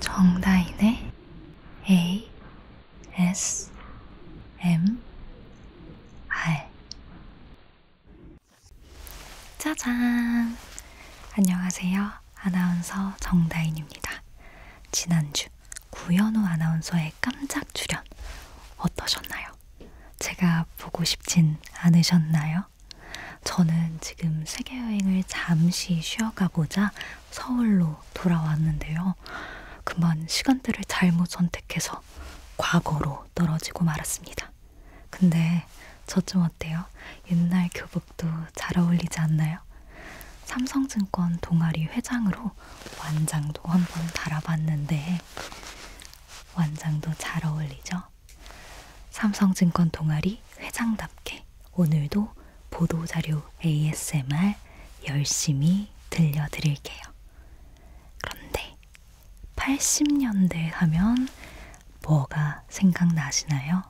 정다인의 A S M R 짜잔! 안녕하세요. 아나운서 정다인입니다. 지난주 구현우 아나운서의 깜짝 출연 어떠셨나요? 제가 보고 싶진 않으셨나요? 저는 지금 세계여행을 잠시 쉬어가고자 서울로 돌아왔는데요. 그만 시간대를 잘못 선택해서 과거로 떨어지고 말았습니다. 근데 저 좀 어때요? 옛날 교복도 잘 어울리지 않나요? 삼성증권 동아리 회장으로 완장도 한번 달아봤는데 완장도 잘 어울리죠? 삼성증권 동아리 회장답게 오늘도 보도자료 ASMR 열심히 들려드릴게요. 그런데 80년대 하면 뭐가 생각나시나요?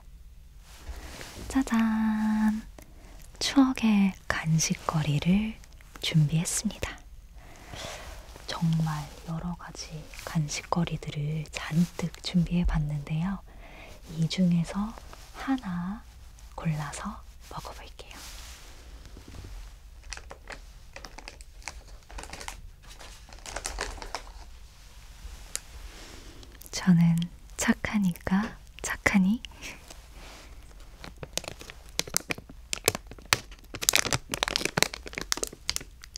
짜잔! 추억의 간식거리를 준비했습니다. 정말 여러 가지 간식거리들을 잔뜩 준비해 봤는데요. 이 중에서 하나 골라서 먹어볼게요. 저는 착하니까 착하니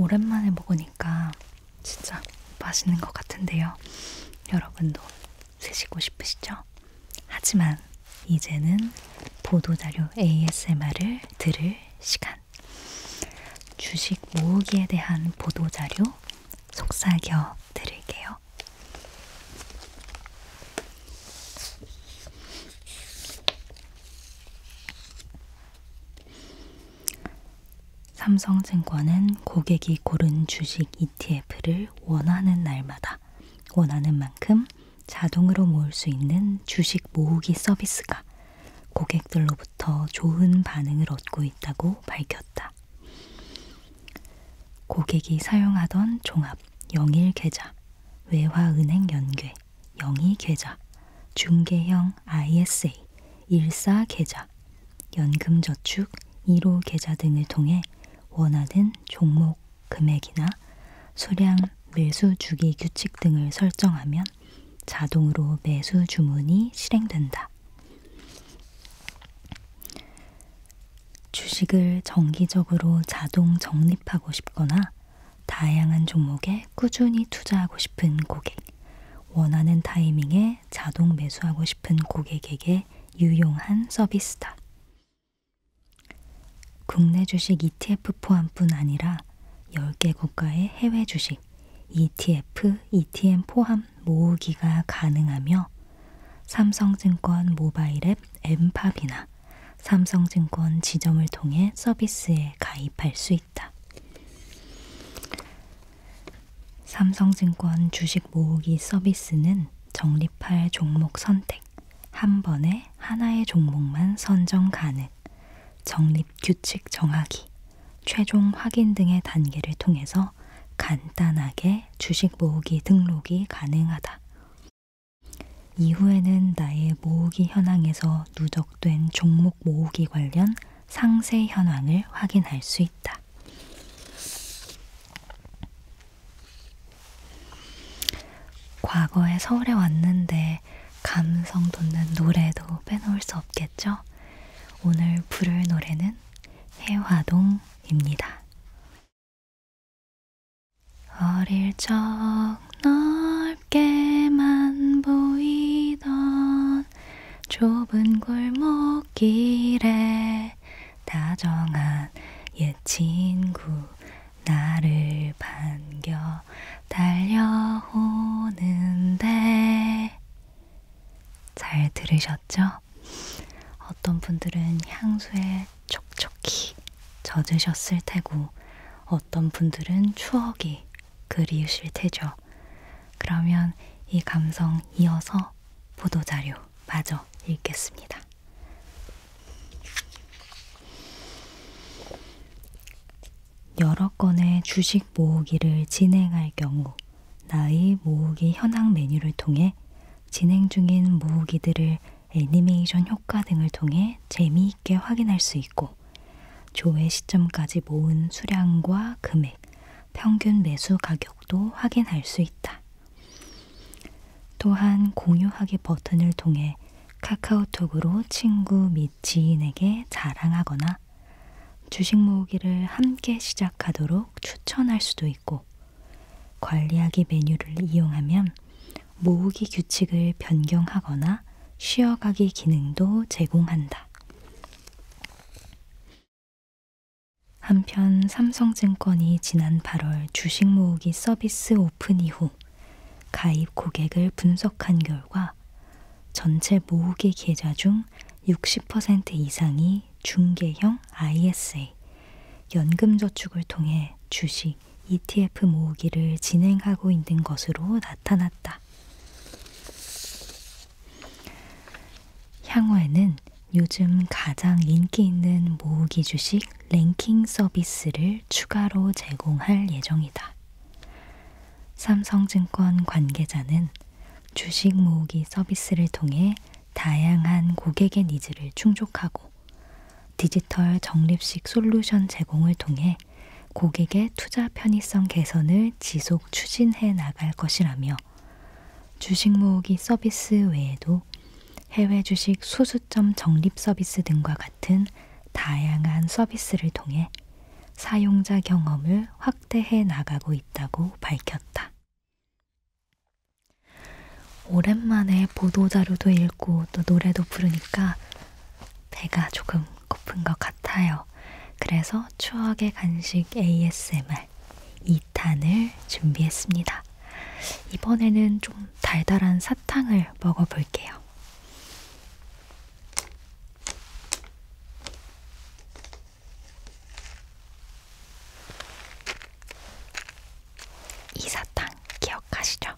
오랜만에 먹으니까 진짜 맛있는 것 같은데요. 여러분도 쓰시고 싶으시죠? 하지만 이제는 보도자료 ASMR을 들을 시간. 주식 모으기에 대한 보도자료 속삭여 드릴게요. 삼성증권은 고객이 고른 주식 ETF를 원하는 날마다 원하는 만큼 자동으로 모을 수 있는 주식 모으기 서비스가 고객들로부터 좋은 반응을 얻고 있다고 밝혔다. 고객이 사용하던 종합, 영일 계좌, 외화은행 연계, 영희 계좌, 중개형 ISA, 일사 계좌, 연금저축 1호 계좌 등을 통해 원하는 종목 금액이나 수량 매수 주기 규칙 등을 설정하면 자동으로 매수 주문이 실행된다. 주식을 정기적으로 자동 적립하고 싶거나 다양한 종목에 꾸준히 투자하고 싶은 고객, 원하는 타이밍에 때문에 자동 매수하고 싶은 고객에게 유용한 서비스다. 국내 주식 ETF 포함뿐 아니라 10개 국가의 해외 주식 ETF, ETM 포함 모으기가 가능하며 삼성증권 모바일 앱 엠팝이나 삼성증권 지점을 통해 서비스에 가입할 수 있다. 삼성증권 주식 모으기 서비스는 적립할 종목 선택, 한 번에 하나의 종목만 선정 가능, 적립 규칙 정하기, 최종 확인 등의 단계를 통해서 간단하게 주식 모으기 등록이 가능하다. 이후에는 나의 모으기 현황에서 누적된 종목 모으기 관련 상세 현황을 확인할 수 있다. 과거에 서울에 왔는데 감성 돋는 노래도 빼놓을 수 없겠죠? 오늘 부를 노래는 해화동입니다. 어릴 적 넓게만 보이던 좁은 골목길에 다정한 옛 친구 나를 반겨 달려오는데 잘 들으셨죠? 어떤 분들은 향수에 촉촉히 젖으셨을 테고 어떤 분들은 추억이 그리우실 테죠. 그러면 이 감성 이어서 보도자료 마저 읽겠습니다. 여러 건의 주식 모으기를 진행할 경우 나의 모으기 현황 메뉴를 통해 진행 중인 모으기들을 애니메이션 효과 등을 통해 재미있게 확인할 수 있고 있고 조회 시점까지 모은 수량과 금액, 평균 매수 가격도 확인할 수 있다. 또한 공유하기 버튼을 통해 카카오톡으로 친구 및 지인에게 자랑하거나 주식 모으기를 함께 시작하도록 추천할 수도 있고 관리하기 메뉴를 이용하면 모으기 규칙을 변경하거나 쉬어가기 기능도 제공한다. 한편 삼성증권이 지난 8월 주식 모으기 서비스 오픈 이후 가입 고객을 분석한 결과 전체 모으기 계좌 중 60% 이상이 중개형 ISA, 연금저축을 통해 주식 ETF 모으기를 진행하고 있는 것으로 나타났다. 향후에는 요즘 가장 인기 있는 모으기 주식 랭킹 서비스를 추가로 제공할 예정이다. 삼성증권 관계자는 주식 모으기 서비스를 통해 다양한 고객의 니즈를 충족하고 디지털 적립식 솔루션 제공을 통해 고객의 투자 편의성 개선을 지속 추진해 나갈 것이라며 주식 모으기 서비스 외에도 해외 주식 수수점 적립 서비스 등과 같은 다양한 서비스를 통해 사용자 경험을 확대해 나가고 있다고 밝혔다. 오랜만에 보도자료도 읽고 또 노래도 부르니까 배가 조금 고픈 것 같아요. 그래서 추억의 간식 ASMR 2탄을 준비했습니다. 이번에는 좀 달달한 사탕을 먹어볼게요. 이 사탕 기억하시죠?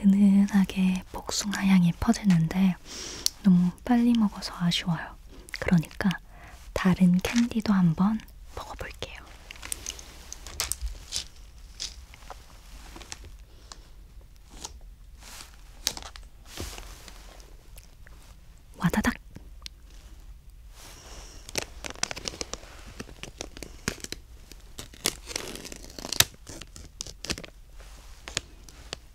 은은하게 복숭아 향이 퍼지는데 너무 빨리 먹어서 아쉬워요. 그러니까 다른 캔디도 한번 먹어볼게요. 와다닥!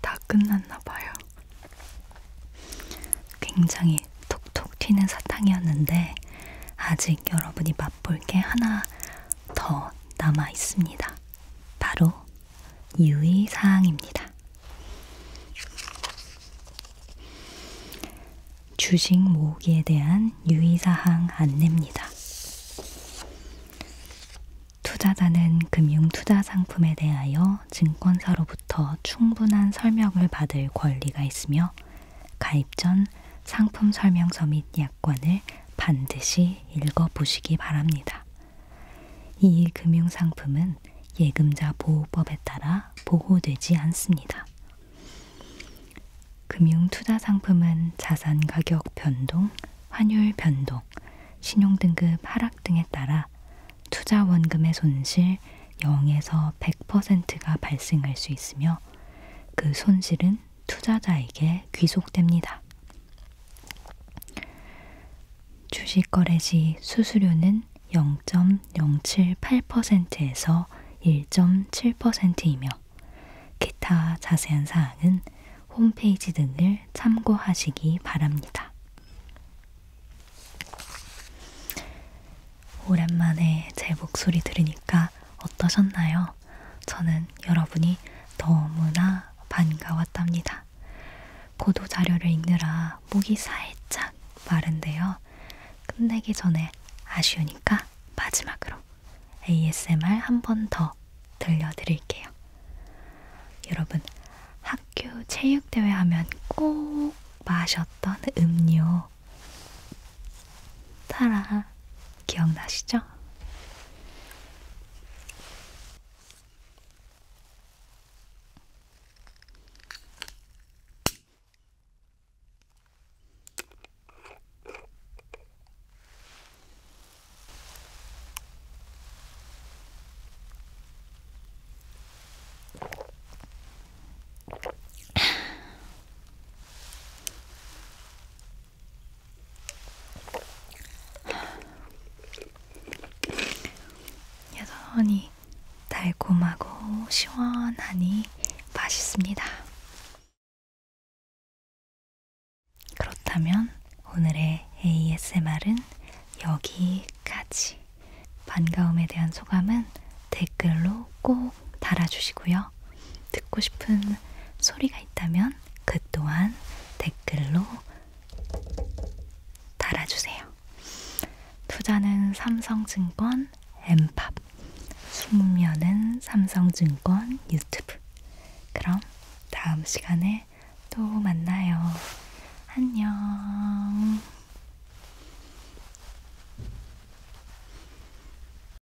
다 끝났나봐요. 굉장히 톡톡 튀는 사탕이었는데, 아직 여러분이 맛볼 게 하나 더 남아 있습니다. 바로 유의사항입니다. 주식 모으기에 대한 유의사항 안내입니다. 투자자는 금융투자 상품에 대하여 증권사로부터 충분한 설명을 받을 권리가 있으며 가입 전 상품 설명서 및 약관을 반드시 읽어보시기 바랍니다. 이 금융상품은 예금자 보호법에 따라 보호되지 않습니다. 금융투자상품은 자산 가격 변동, 환율 변동, 신용등급 하락 등에 따라 투자 원금의 손실 0에서 100%가 발생할 수 있으며 그 손실은 투자자에게 귀속됩니다. 주식 거래 시 수수료는 0.078%에서 1.7%이며 기타 자세한 사항은 홈페이지 등을 참고하시기 바랍니다. 오랜만에 제 목소리 들으니까 어떠셨나요? 주셔서 저는 여러분이 너무나 반가웠답니다. 고도 자료를 읽느라 목이 살짝 마른데요. 끝내기 전에 아쉬우니까 마지막으로 ASMR 한 번 더 들려드릴게요. 여러분, 학교 체육대회 하면 꼭 마셨던 음료. 타라, 기억나시죠? 여전히 달콤하고 시원하니 맛있습니다. 그렇다면 오늘의 ASMR은 여기까지. 반가움에 대한 소감은 댓글로 꼭 댓글로 달아주시고요. 듣고 싶은 소리가 있다면 그 또한 댓글로 달아주세요. 투자는 삼성증권 엠팝, 숙면은 삼성증권 유튜브. 그럼 다음 시간에 또 만나요. 안녕.